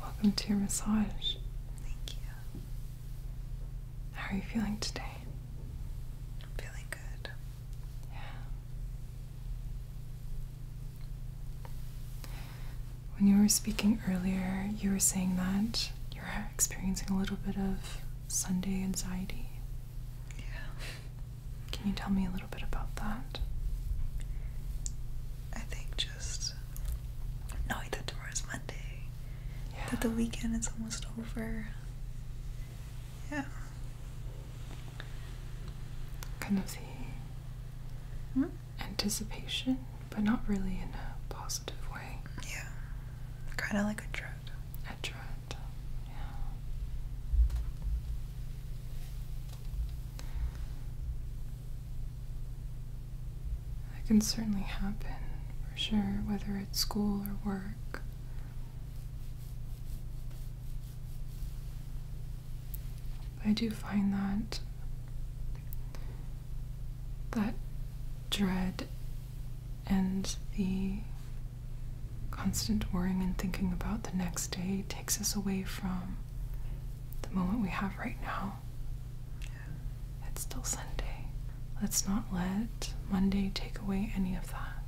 Welcome to your massage. Thank you. How are you feeling today? I'm feeling good. When you were speaking earlier, you were saying that you're experiencing a little bit of Sunday anxiety. Yeah. Can you tell me a little bit about that? I think just knowing that tomorrow's Monday, that the weekend is almost over, yeah. Kind of the mm-hmm. anticipation, but not really in a positive way. Yeah. Kind of like a dread. A dread, yeah. That can certainly happen, for sure, whether it's school or work. I do find that that dread and the constant worrying and thinking about the next day takes us away from the moment we have right now. It's still Sunday. Let's not let Monday take away any of that.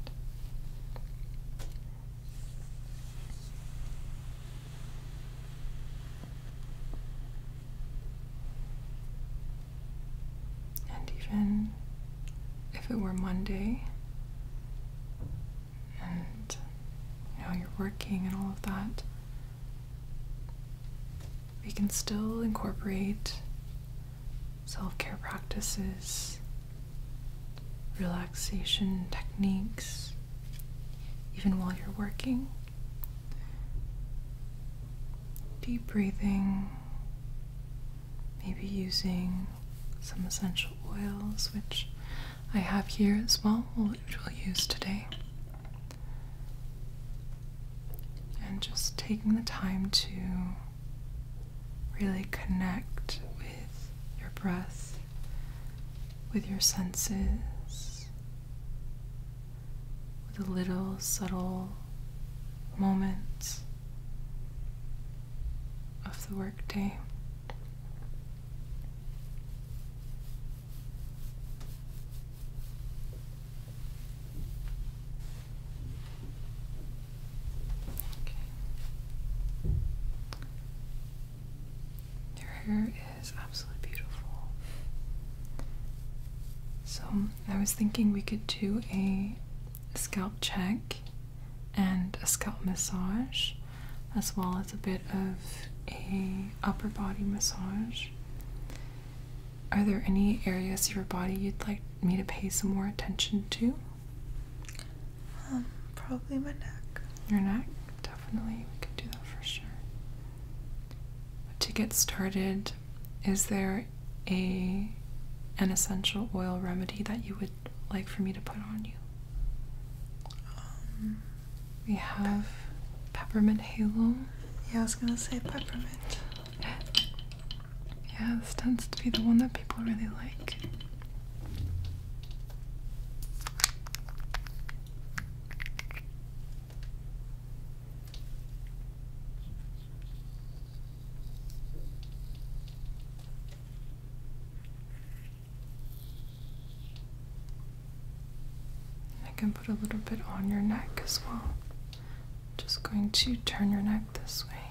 And even if it were Monday and you know you're working and all of that, we can still incorporate self care practices, relaxation techniques, even while you're working. Deep breathing, maybe using some essential oils, which I have here as well, which we'll use today. And just taking the time to really connect with your breath, with your senses, with the little subtle moments of the workday. Your hair is absolutely beautiful. So, I was thinking we could do a scalp check and a scalp massage as well as a bit of a upper body massage. Are there any areas of your body you'd like me to pay some more attention to? Um, probably my neck. Your neck? Definitely. We could do that for sure. to get started, is there a an essential oil remedy that you would like for me to put on you? Um, we have peppermint halo. Yeah, I was gonna say peppermint. Yeah, this tends to be the one that people really like. I can put a little bit on your neck as well. Just going to turn your neck this way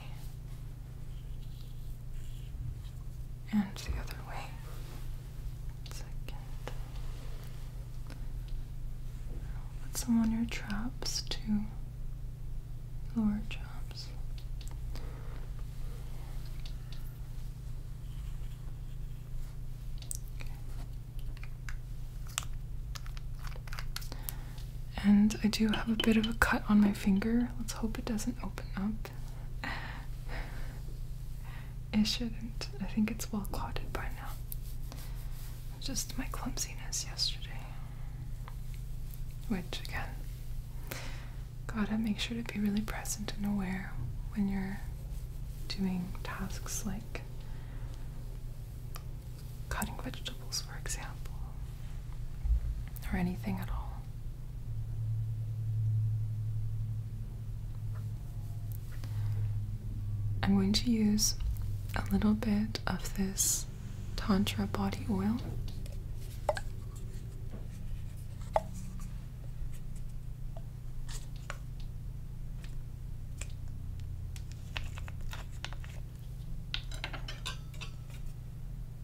and the other way. Second. Put some on your traps too. Lower traps. And I do have a bit of a cut on my finger. Let's hope it doesn't open up. It shouldn't. I think it's well clotted by now. Just my clumsiness yesterday. Which, again, gotta make sure to be really present and aware when you're doing tasks like cutting vegetables for example, or anything at all. I'm going to use a little bit of this Tantra body oil.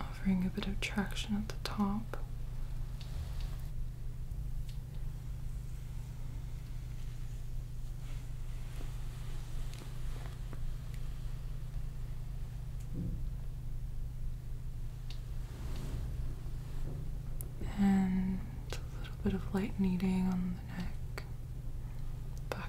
Offering a bit of traction at the top. And a little bit of light kneading on the neck, back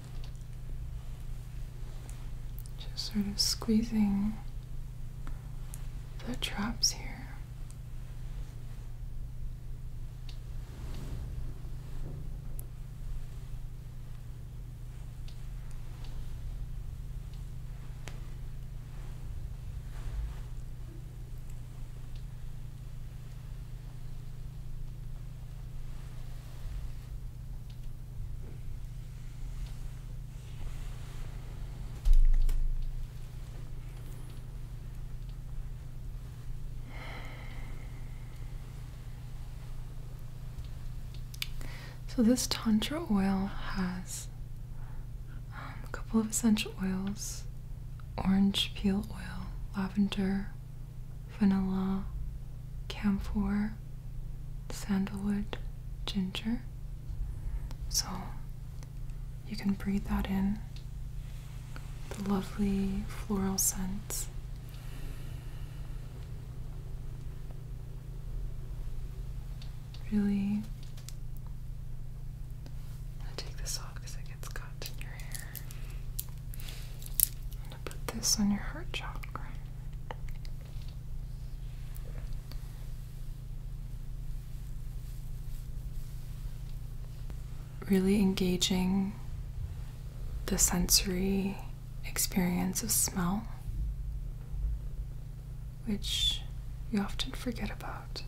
Just sort of squeezing the traps here. So, this Tantra oil has um, a couple of essential oils orange peel oil, lavender, vanilla, camphor, sandalwood, ginger. So you can breathe that in, the lovely floral scents. Really, i take this off because it gets caught in your hair. I'm gonna put this on your heart chakra. Really engaging the sensory experience of smell, which you often forget about.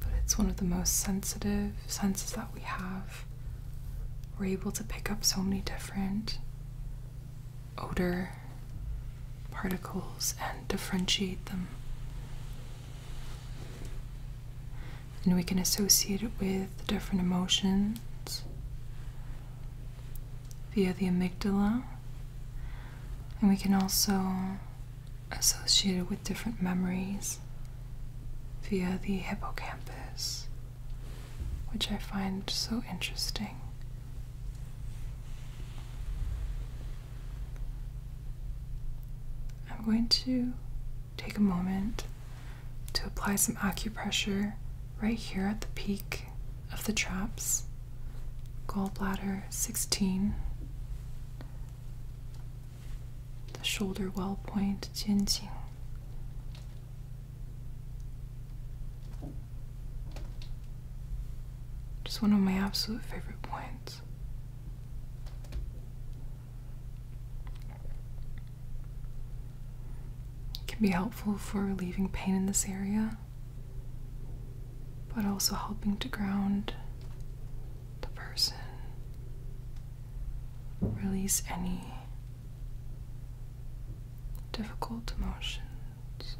But it's one of the most sensitive senses that we have. We're able to pick up so many different odor particles and differentiate them. And we can associate it with different emotions via the amygdala. And we can also associated with different memories via the hippocampus, which I find so interesting. I'm going to take a moment to apply some acupressure right here at the peak of the traps, gallbladder 16 the shoulder well point, 肩颈。Just one of my absolute favorite points. can be helpful for relieving pain in this area, but also helping to ground the person. Release any difficult emotions,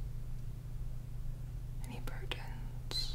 any burdens.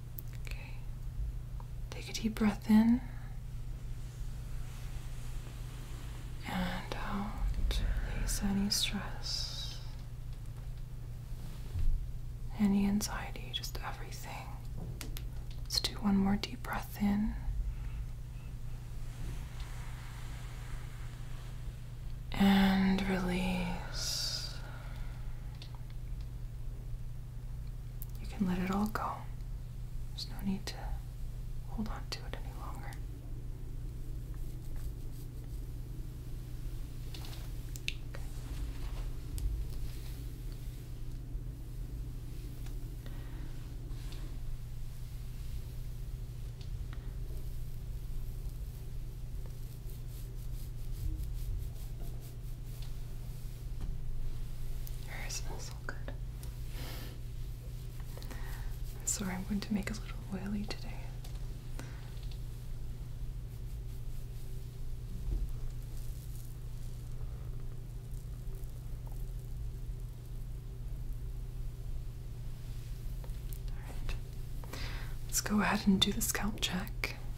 Okay. Take a deep breath in and out. Release any stress, any anxiety, just everything. Let's do one more deep breath in. And release you can let it all go. There's no need to hold on to it any longer. Your hair smells so good. I'm sorry, I'm going to make a little oily today. All right. Let's go ahead and do the scalp check.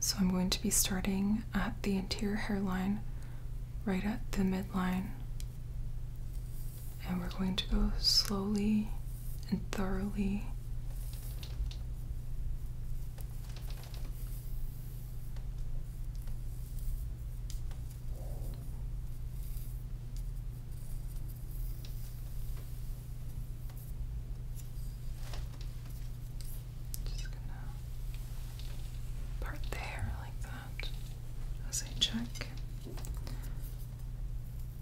so I'm going to be starting at the interior hairline, right at the midline, and we're going to go slowly and thoroughly. Just gonna part there like that as I check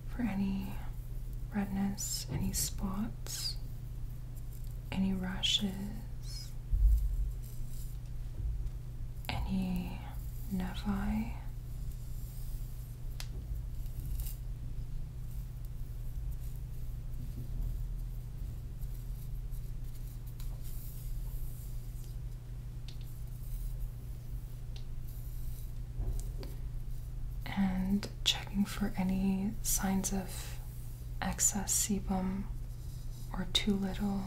for any redness, any spots, any rashes, any nevi and checking for any signs of excess sebum or too little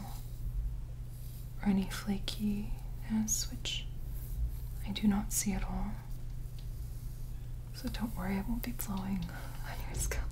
or any flakiness, which I do not see at all. So don't worry, it won't be blowing on your scalp.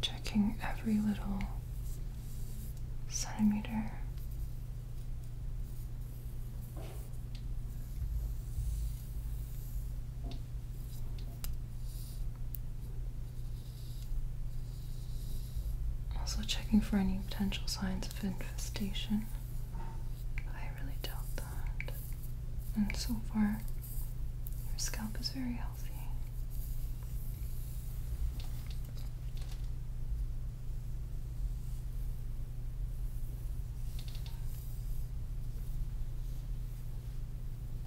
Checking every little centimeter. Also checking for any potential signs of infestation. I really doubt that. And so far, your scalp is very healthy.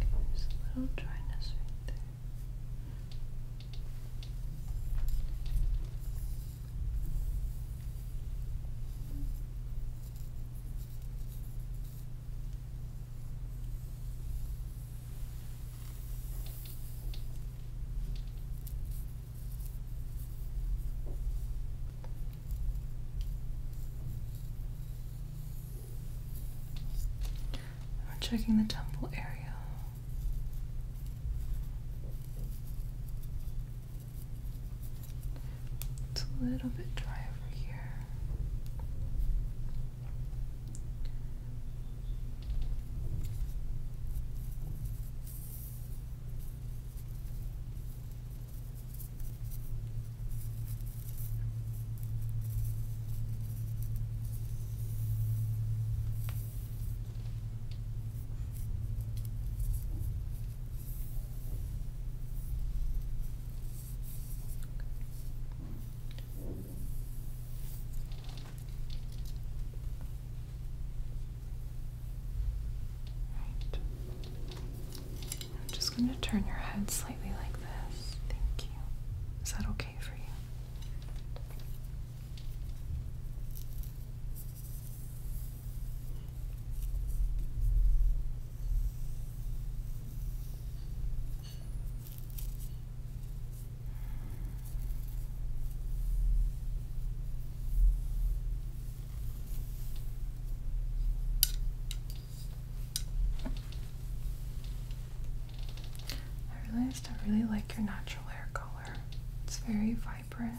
There's a little dryness right there. We're checking the temple area. It's a little bit dry over here. I'm just going to turn your head slightly like this. Thank is that okay for you? I realized I really like your natural hair color. It's very vibrant.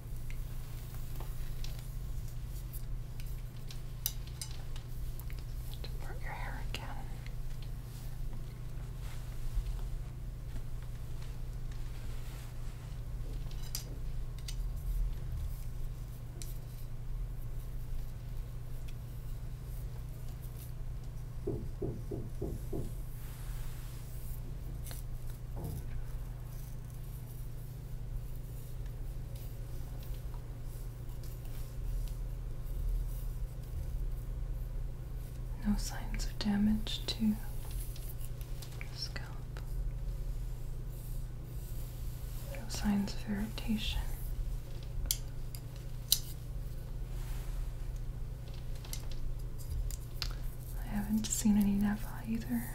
Part your hair again. No signs of damage to scalp. No signs of irritation. I haven't seen any Nephi either.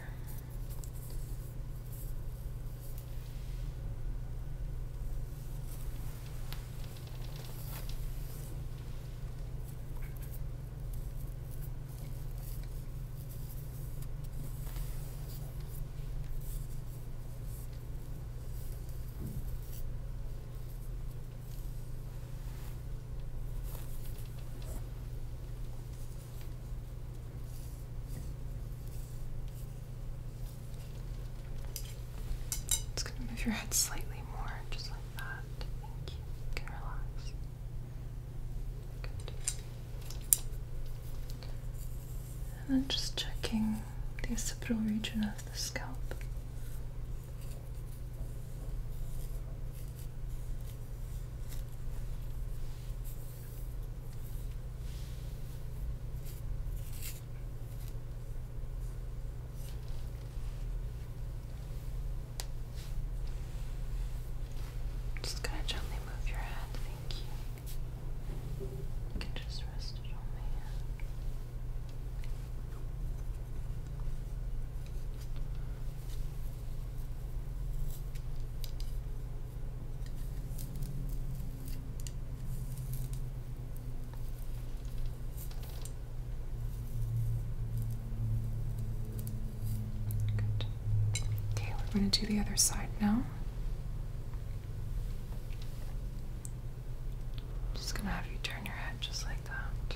It's going to move your head slightly more, just like that. Thank you. can relax. Good. And then just checking the occipital region of the scalp. Just gonna gently move your head, thank you. You can just rest it on my hand. Okay, we're going to do the other side now. just going to have you turn your head just like that.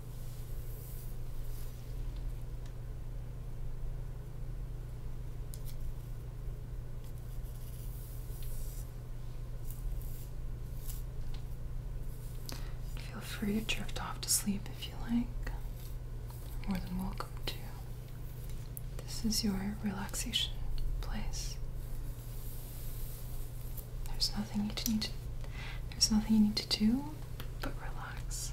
Feel free to drift off to sleep if you like. more than welcome to. This is your relaxation place. There's nothing you need to there's nothing you need to do but relax.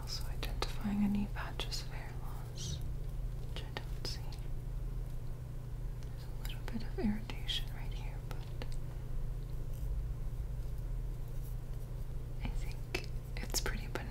Also identifying any patches of hair loss, which I don't see. There's a little bit of irritation right here, but I think it's pretty benign.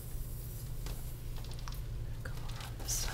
Come over on side.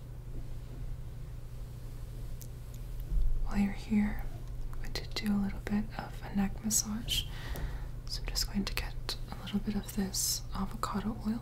While you're here, I'm going to do a little bit of a neck massage. So I'm just going to get a little bit of this avocado oil.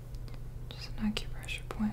Just an acupressure point.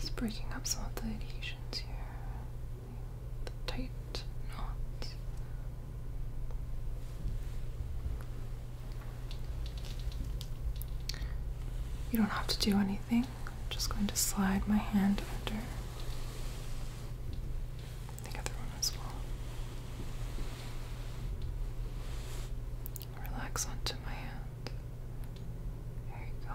Just breaking up some of the adhesions here. tight knots. You don't have to do anything. I'm just going to slide my hand under the other one as well. Relax onto my hand. There you go.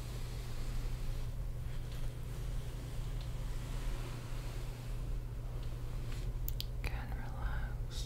Can relax.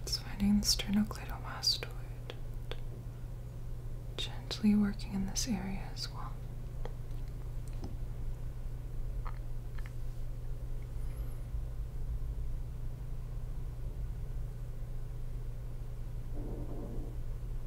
It's finding the sternocleidomastoid. Gently working in this area as well.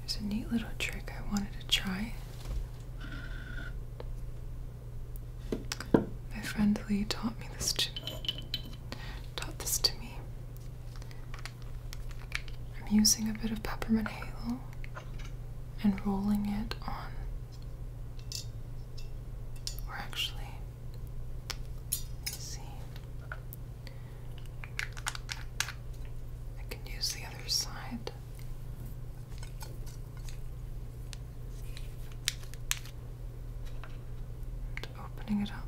There's a neat little trick I wanted to try. My friend Lee taught me this to taught this to me. I'm using a bit of peppermint halo and rolling it on or actually let me see. I can use the other side. And opening it up.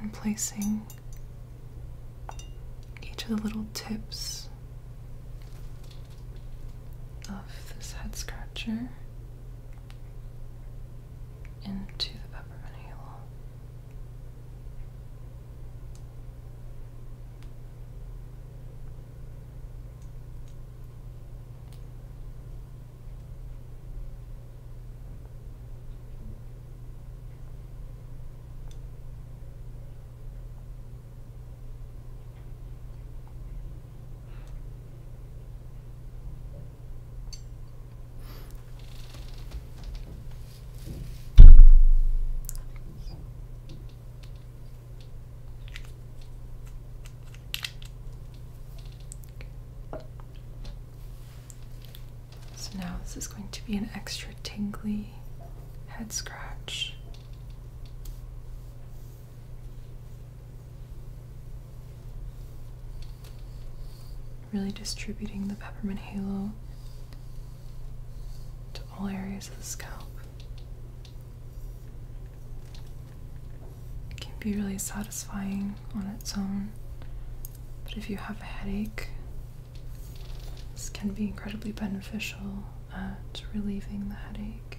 And placing each of the little tips of this head scratcher into the peppermint halo. So now this is going to be an extra tingly head scratch Really distributing the peppermint halo to all areas of the scalp. It can be really satisfying on its own, but if you have a headache, this can be incredibly beneficial at relieving the headache.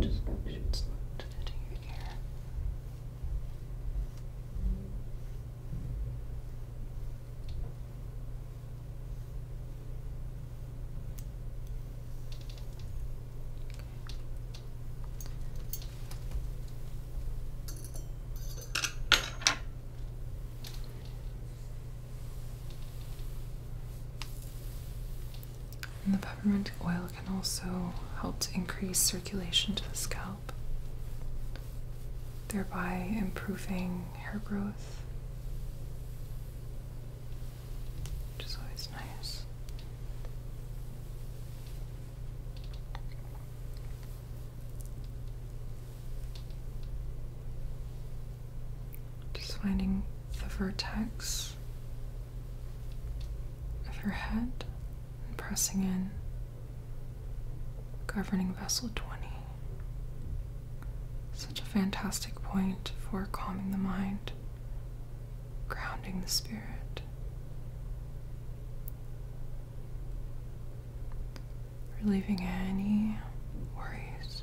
Just make sure it's not fitting the peppermint oil can also help to increase circulation to the scalp, thereby improving hair growth which is always nice. Just finding the vertex of your head and pressing in, governing vessel 20. Such a fantastic point for calming the mind, grounding the spirit, relieving any worries.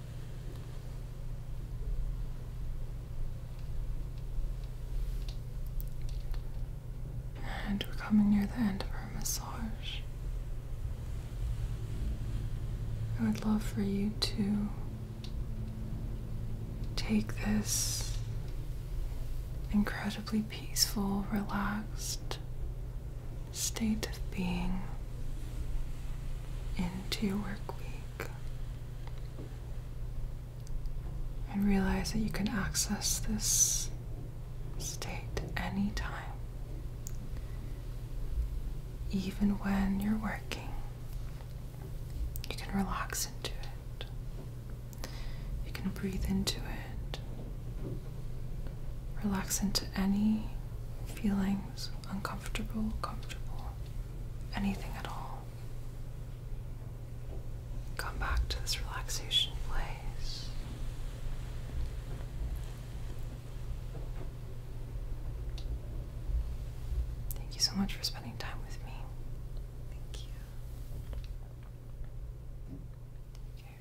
And we're coming near the end of our massage. I would love for you to take this incredibly peaceful, relaxed state of being into your work week. And realize that you can access this state anytime, even when you're working. You can relax into it, you can breathe into it, relax into any feelings uncomfortable, comfortable, anything at all. Come back to this relaxation place. Thank you so much for spending time with me. Thank you. Take care.